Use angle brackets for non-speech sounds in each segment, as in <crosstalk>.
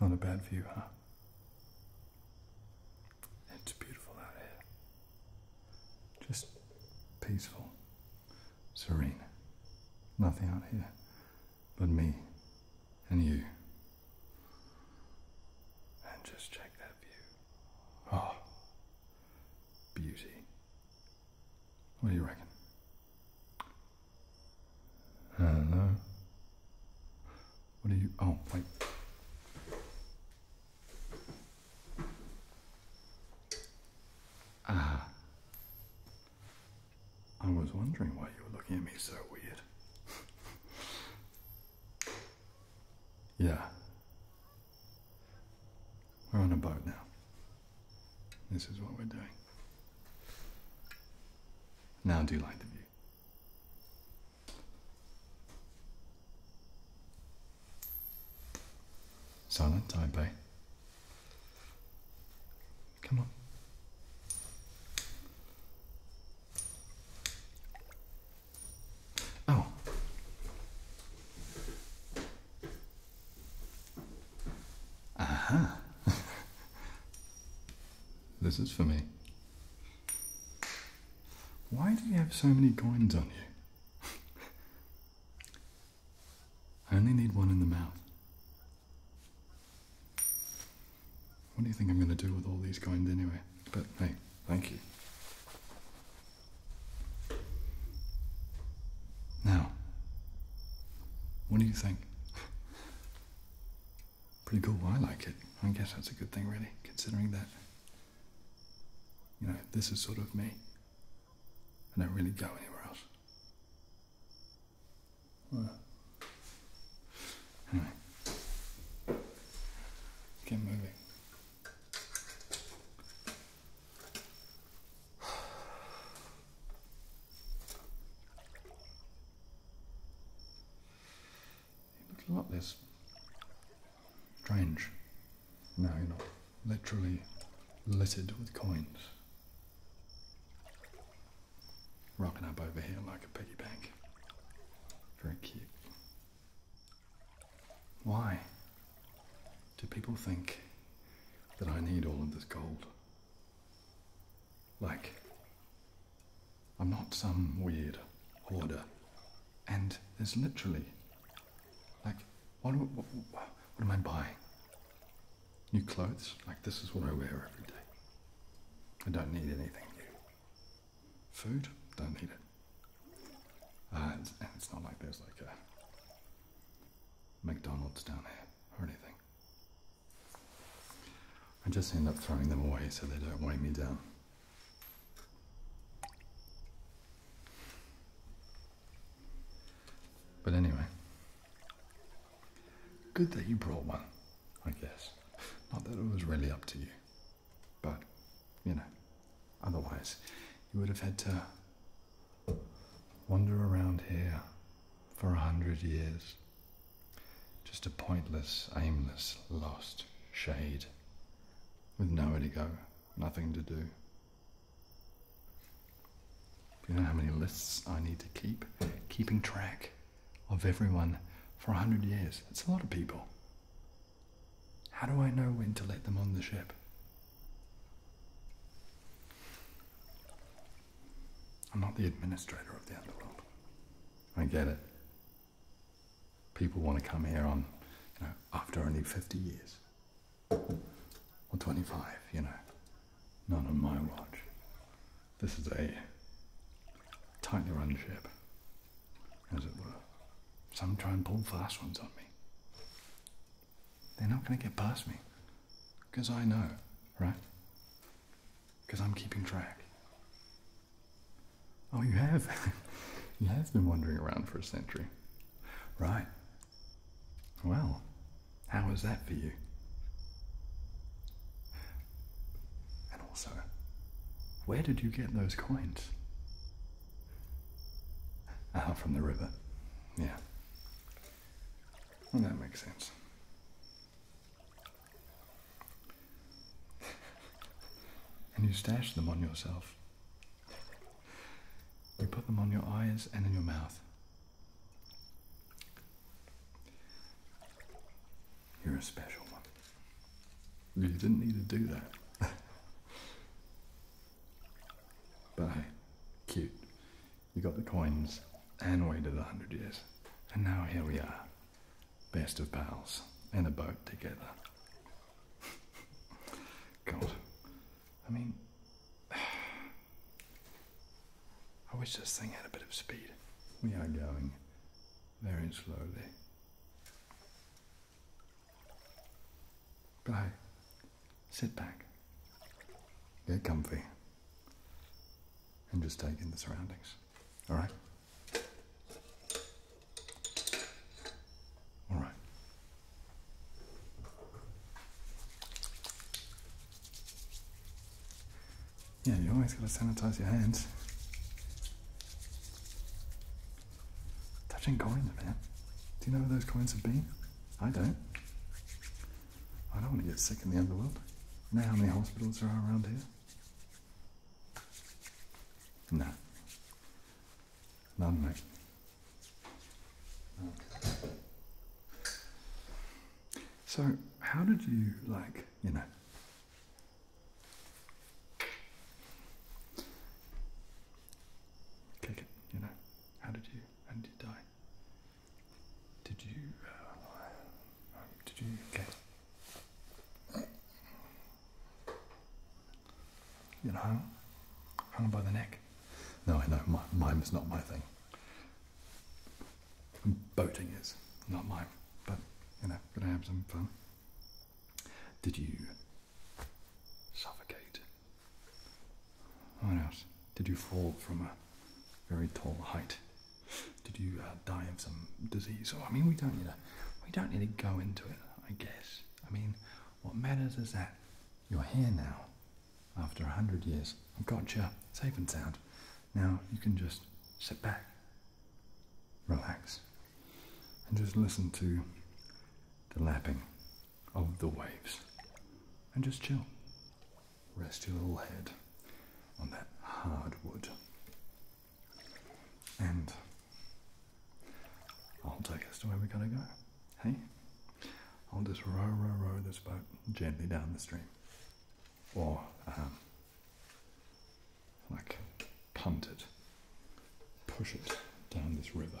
Not a bad view, huh? It's beautiful out here. Just peaceful, serene. Nothing out here but me and you. And just check that view. Oh, beauty. What do you reckon? I don't know. What are you? Oh, wait. Ah. I was wondering why you were looking at me so weird. <laughs> yeah. We're on a boat now. This is what we're doing. Now, do you like the view? Silent Taipei. Come on. Oh. Aha. this is for me. Why do you have so many coins on you? I only need one in the mouth. What do you think I'm going to do with all these coins anyway? But hey, thank you. Now, what do you think? Pretty cool. I like it. I guess that's a good thing, really, considering that, you know, this is sort of me. I don't really go anywhere else. Well, anyway, get moving a lot less strange now you're not literally littered with coins. Rocking up over here like a piggy bank. Very cute. Why do people think that I need all of this gold? Like, I'm not some weird hoarder. And there's literally, like, what, am I buying? New clothes? Like, this is what I wear every day. I don't need anything new. Food? Don't need it. Uh, and it's not like there's like a McDonald's down here or anything. I just end up throwing them away so they don't weigh me down. But anyway, good that you brought one, I guess. Not that it was really up to you, but you know, otherwise you would have had to Wander around here for a hundred years. Just a pointless, aimless, lost shade with nowhere to go, nothing to do. You know how many lists I need to keep? Keeping track of everyone for a hundred years. That's a lot of people. How do I know when to let them on the ship? I'm not the administrator of the underworld. I get it. People want to come here on, you know, after only 50 years. Or 25, you know. none on my watch. This is a tightly run ship, as it were. Some try and pull fast ones on me. They're not going to get past me. Because I know, right? Because I'm keeping track. Oh, you have? <laughs> you have been wandering around for a century. Right. Well, how is that for you? And also, where did you get those coins? Out <laughs> ah, from the river. Yeah. Well, that makes sense. <laughs> and you stash them on yourself. You put them on your eyes and in your mouth. You're a special one. You didn't need to do that. <laughs> But hey, cute. You got the coins and waited a hundred years. And now here we are. Best of pals. In a boat together. <laughs> God. I mean, <sighs> I wish this thing had a bit of speed. We are going very slowly. Bye. Sit back. Get comfy. And just take in the surroundings. All right? All right. Yeah, you always gotta sanitize your hands. Touching coins, man. Do you know where those coins have been? I don't. I don't want to get sick in the underworld. You know how many hospitals there are around here? No. None, mate. So, how did you, like, you know, kick it, you know? How did you? How did you die? Did you? Uh, um, did you get? You know, hung, hung by the neck. No, I know. My, mime's not my thing. Boating is not mine, but you know, gonna have some fun. Did you suffocate? What else? Did you fall from a very tall height? Did you uh, die of some disease? Or, oh, I mean, we don't need to, we don't need to go into it. I guess. I mean, what matters is that you're here now, after a hundred years. I've got you safe and sound. Now you can just sit back, relax, and just listen to the lapping of the waves and just chill. Rest your little head on that hardwood, And I'll take us to where we gotta go. Hey? I'll just row, row, row this boat gently down the stream. Or, um, like, punt it, push it down this river.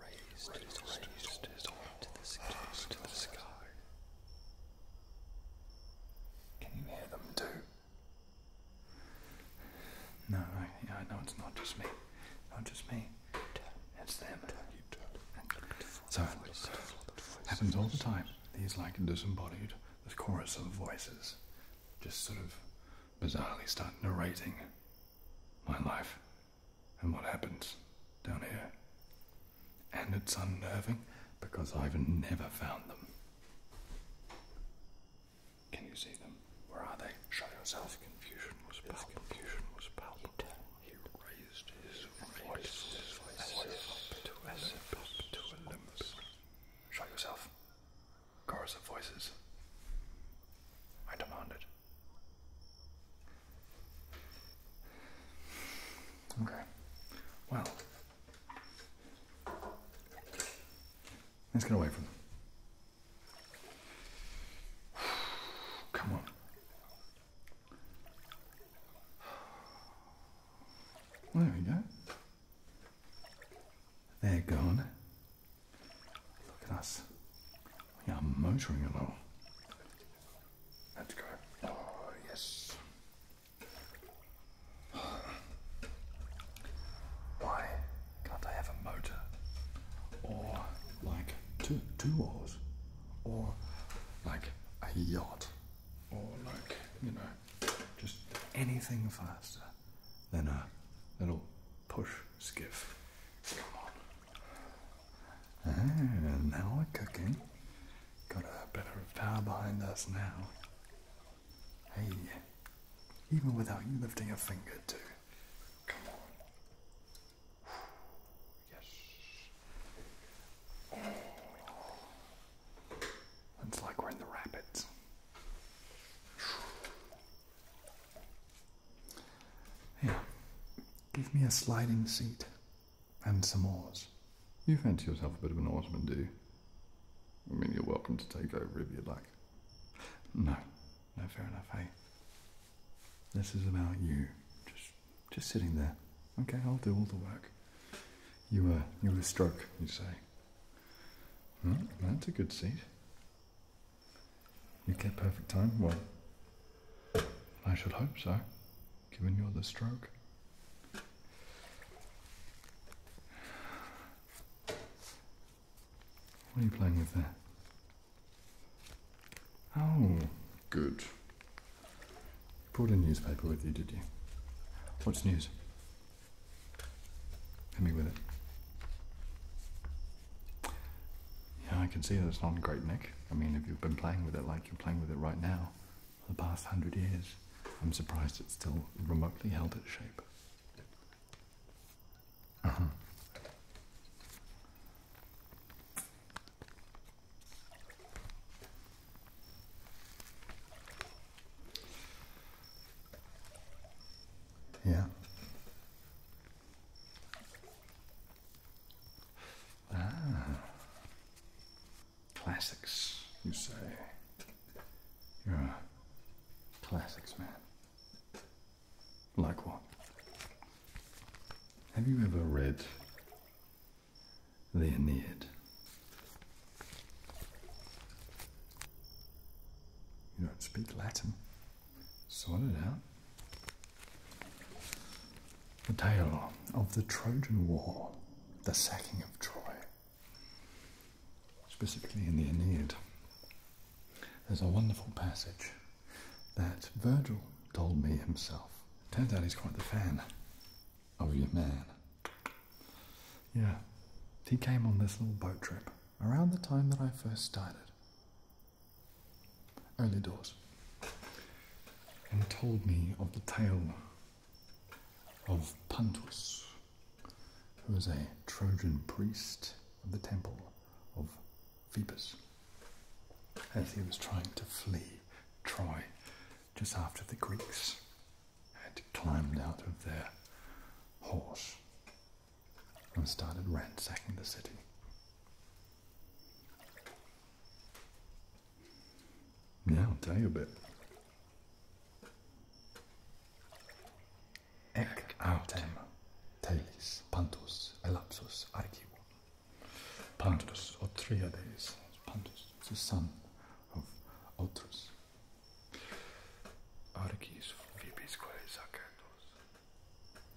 raised, his arm to the sky. Can you hear them too? No, I know it's not just me. Not just me. It's them. So it happens all the time. These like disembodied, this chorus of voices, just sort of bizarrely start narrating my life, and what happens down here. And it's unnerving because I've never found them. Can you see them? Where are they? Show yourself. confusion was palpable. confusion was palpable. He, raised his, voice, his voice, to Olympus. Show yourself. Chorus of voices. I demanded. Okay. Well, let's get away from them. <sighs> Come on. There we go. There are gone. Look at us. We are motoring along. Let's go. Oh, yes. Why can't I have a motor? Or like two, two oars? Or like a yacht? Or like, you know, just anything faster than a little push skiff. Come on. And now we're cooking. Got a bit of power behind us now. Hey, even without you lifting a finger too. Come on. Yes. It's like we're in the rapids. Here, give me a sliding seat and some oars. You fancy yourself a bit of an oarsman, do I mean, you're welcome to take over if you'd like. No, no, fair enough, hey? This is about you. Just, just sitting there. Okay, I'll do all the work. You, uh, you'll stroke, you say. that's a good seat. You get perfect time? Well, I should hope so, given you're the stroke. What are you playing with there? Oh, good. You brought a newspaper with you, did you? What's news? Hit me with it. Yeah, I can see that it's not in great nick. I mean, if you've been playing with it like you're playing with it right now for the past hundred years, I'm surprised it's still remotely held its shape. Uh -huh. Yeah. Ah. Classics, you say. Yeah, classics man. Like what? Have you ever read The Aeneid? You don't speak Latin. Sort it out. The tale of the Trojan War, the sacking of Troy, specifically in the Aeneid. There's a wonderful passage that Virgil told me himself. Turns out he's quite the fan of your man. Yeah, he came on this little boat trip around the time that I first started early doors and told me of the tale of Pontus, who was a Trojan priest of the temple of Phoebus, as he was trying to flee Troy just after the Greeks had climbed out of their horse and started ransacking the city. Yeah, I'll tell you a bit. Ec autem telis pantus elapsus archivo. Pantus, Otriades, Pantus, the son of Otrus. Archis, Phoebes, Quae, Zacatos.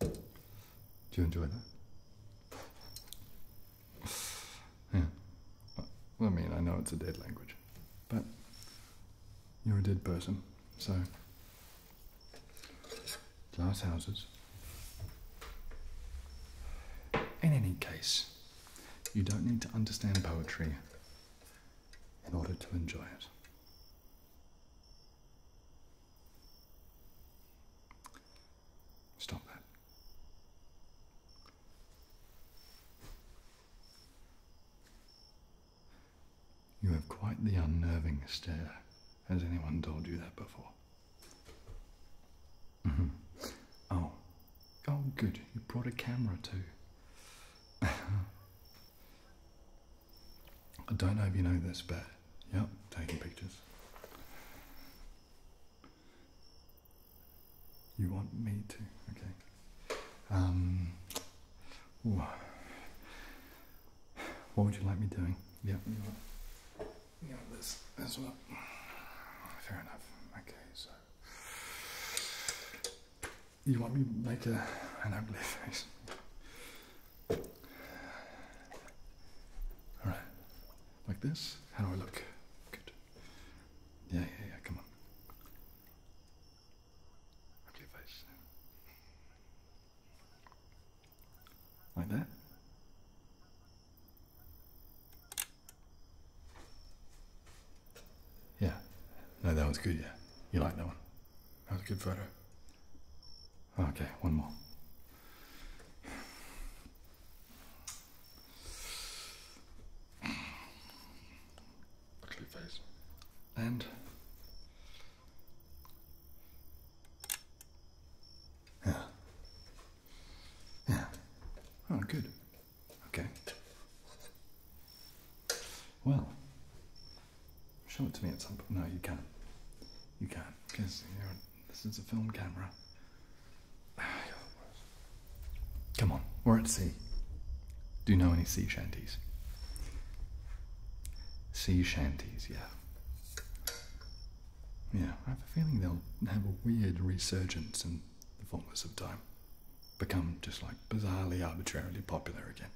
Do you enjoy that? Yeah. I mean, I know it's a dead language, but you're a dead person, so glass houses. In any case, you don't need to understand poetry in order to enjoy it. Stop that. You have quite the unnerving stare. Has anyone told you that before? Mm-hmm. Oh. Oh, good. You brought a camera too. <laughs> I don't know if you know this, but yep, taking pictures. You want me to? Okay. Um, what would you like me doing? Yeah, yeah, this as well. Fair enough. Okay, so you want me make a an ugly <laughs> face? All right. Like this? How do I look? Good. Yeah, yeah, yeah. Come on. Okay, face. Like that. Yeah. No, that one's good, yeah. You like that one? That was a good photo. Okay, one more. Ugly face. And. Yeah. Yeah. Oh, good. Okay. Well, Show it to me at some point. No, you can't. You can't, because this is a film camera. <sighs> Come on, we're at sea. Do you know any sea shanties? Sea shanties, yeah. Yeah, I have a feeling they'll have a weird resurgence in the fullness of time. Become just like bizarrely arbitrarily popular again.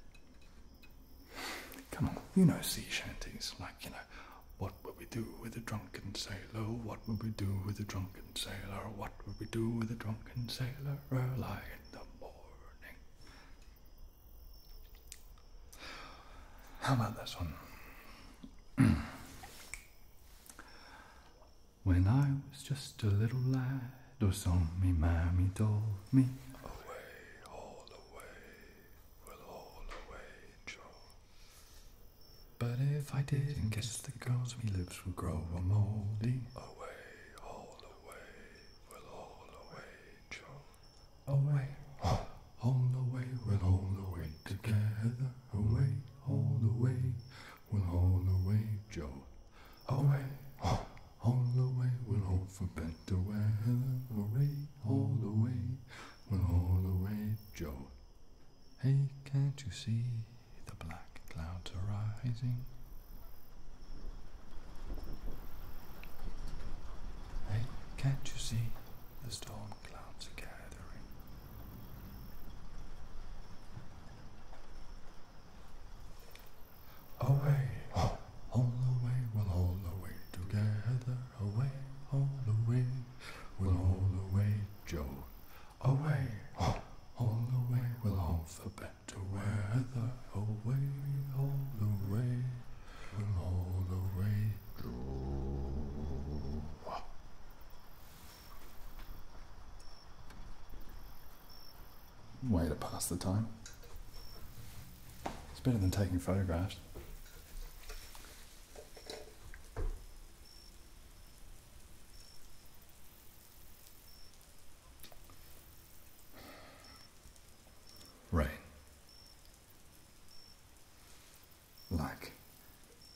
Come on, you know sea shanties, like, you know, what would we do with a drunken sailor? What would we do with a drunken sailor? What would we do with a drunken sailor early in the morning? How about this one? <clears throat> when I was just a little lad, or so my mammy told me, away, will all away draw. But if I didn't kiss the girls, me lips would grow a moldy. Away, all away, will all away draw. Away, <gasps> all away, will all away together. Away, all away, will <gasps> all away draw. Away, all all the way, we'll hope for better weather. Hooray, all the way, we'll all the way, Joe. Hey, can't you see the black clouds are rising? Hey, can't you see the storm clouds are gathering? away, all the way, we'll all the way together, away, all the way, we'll all the way, Joe, away, oh, all the way, we'll all the better weather, away, all the way, we'll all the way, Joe way to pass the time. It's better than taking photographs. Rain. Like,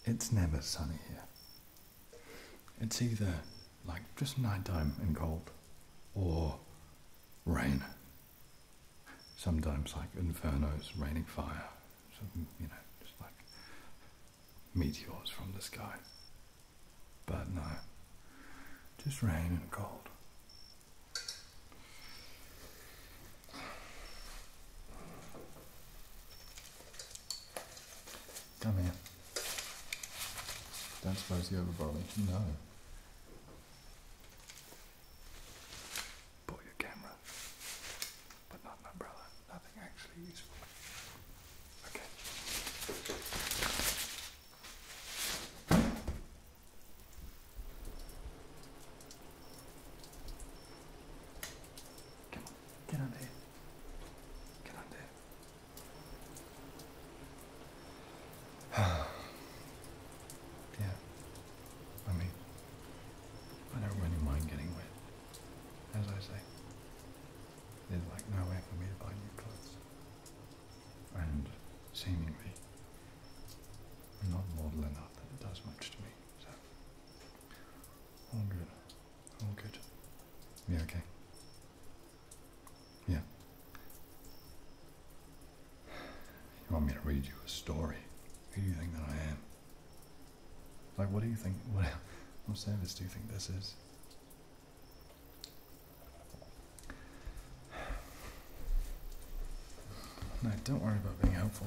it's never sunny here. It's either like just nighttime and cold or rain sometimes like infernos, raining fire, you know, just like meteors from the sky. But no, just rain and cold. Come here. Don't suppose you ever bother me. No. Bought your camera, but not an umbrella. Nothing actually useful. Okay. Come on, get under here. Get under here. <sighs> yeah. I mean, I don't really mind getting wet. As I say, there's like nowhere for me to buy new clothes. And seemingly, I'm not model enough that it does much to me. So, all good. All good. You okay? Yeah. You want me to read you a story? Who do you think that I am? Like, what do you think? What, <laughs> what service do you think this is? No, don't worry about being helpful.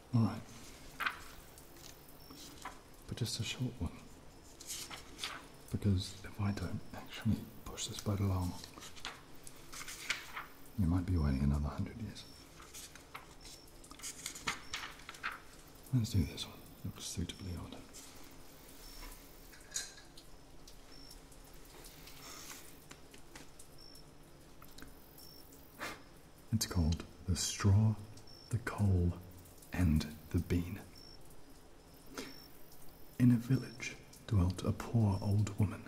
All right. But just a short one. Because if I don't actually push this boat along, you might be waiting another hundred years. Let's do this one. Looks suitably odd. It's called the straw, the coal, and the bean. In a village dwelt a poor old woman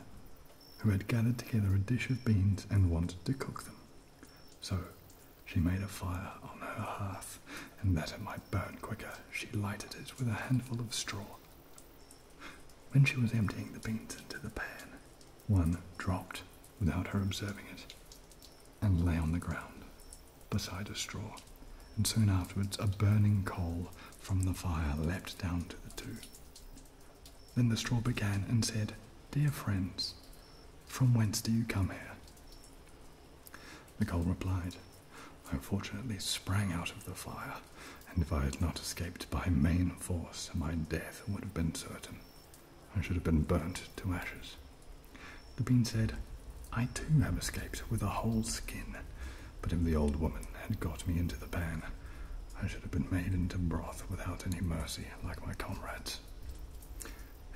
who had gathered together a dish of beans and wanted to cook them. So she made a fire on her hearth, and that it might burn quicker, she lighted it with a handful of straw. When she was emptying the beans into the pan, one dropped without her observing it, and lay on the ground beside a straw, and soon afterwards a burning coal from the fire leapt down to the two. Then the straw began and said, Dear friends, from whence do you come here? The coal replied, I unfortunately sprang out of the fire, and if I had not escaped by main force, my death would have been certain. I should have been burnt to ashes. The bean said, I too have escaped with a whole skin, but if the old woman had got me into the pan, I should have been made into broth without any mercy, like my comrades.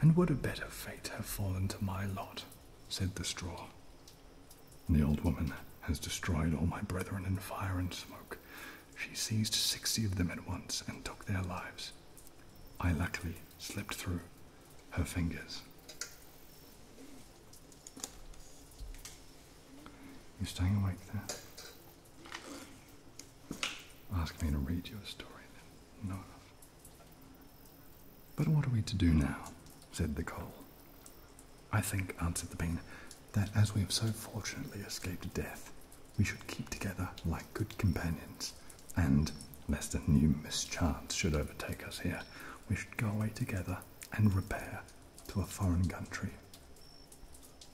And what a better fate have fallen to my lot? said the straw. The old woman has destroyed all my brethren in fire and smoke, she seized sixty of them at once and took their lives. I luckily slipped through her fingers. You staying awake there? Ask me to read you a story then. No. But what are we to do now? said the coal. I think, answered the bean, that as we have so fortunately escaped death, we should keep together like good companions, and lest a new mischance should overtake us here, we should go away together and repair to a foreign country.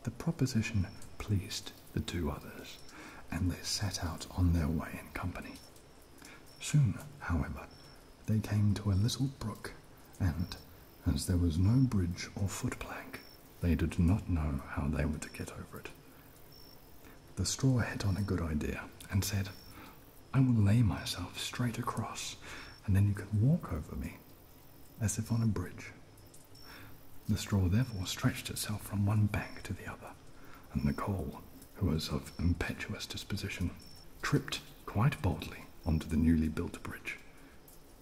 The proposition pleased the two others, and they set out on their way in company. Soon, however, they came to a little brook, and, as there was no bridge or foot footplank, they did not know how they were to get over it. The straw hit on a good idea and said, I will lay myself straight across, and then you can walk over me, as if on a bridge. The straw therefore stretched itself from one bank to the other, and Nicole, who was of impetuous disposition, tripped quite boldly onto the newly built bridge.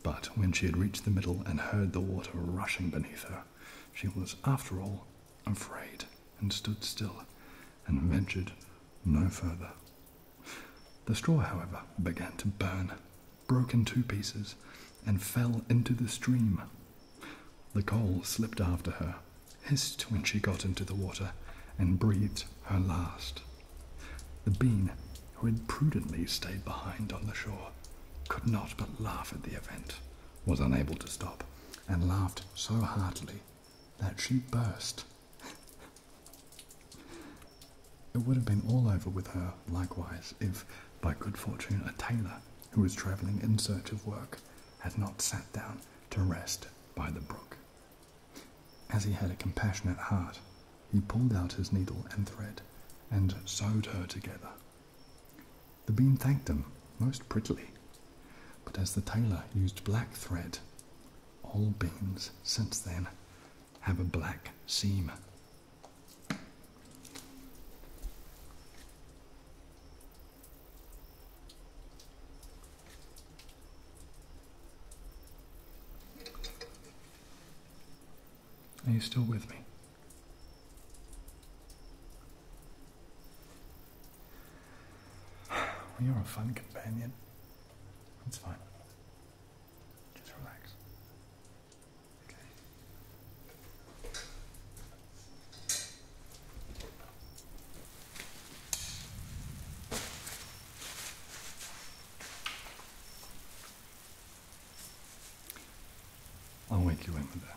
But when she had reached the middle and heard the water rushing beneath her, she was, after all, afraid and stood still and ventured no further. The straw, however, began to burn, broke in two pieces, and fell into the stream. The coal slipped after her, hissed when she got into the water, and breathed her last. The bean, who had prudently stayed behind on the shore, could not but laugh at the event, was unable to stop, and laughed so heartily that she burst. it would have been all over with her likewise if, by good fortune, a tailor who was travelling in search of work had not sat down to rest by the brook. As he had a compassionate heart, he pulled out his needle and thread and sewed her together the bean thanked him most prettily, but as the tailor used black thread, all beans since then have a black seam. Are you still with me? you're a fun companion. It's fine. Just relax. Okay. I'll wake you in with that.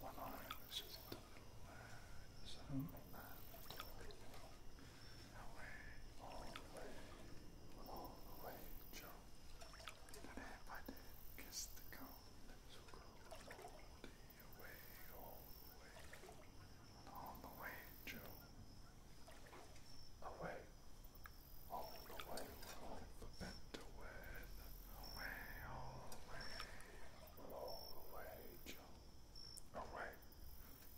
One eye, which is in the middle there, so, and away, all the way, all the way, Joe. And if I did kiss the cold, lips all the way, all the way, Joe. Away, all the way, all the bent away, away, all the way, all the way, Joe. Away,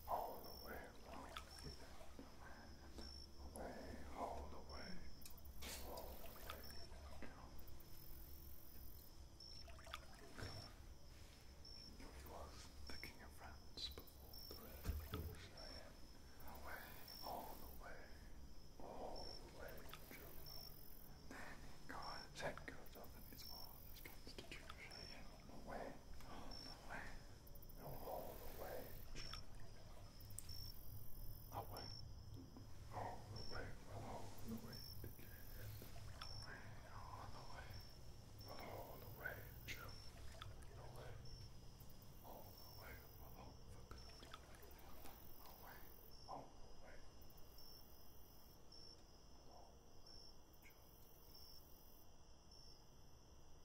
all the way along, way, all the way, all the way You was the king of France before the revolution. I am away, all the way, all the way to Then God set goes up in his arms, constitution. I am away, all the way all the way I went all the way below the weight. All the way below the wage. The way. All the way below the building. Away. All the way. Below the wage.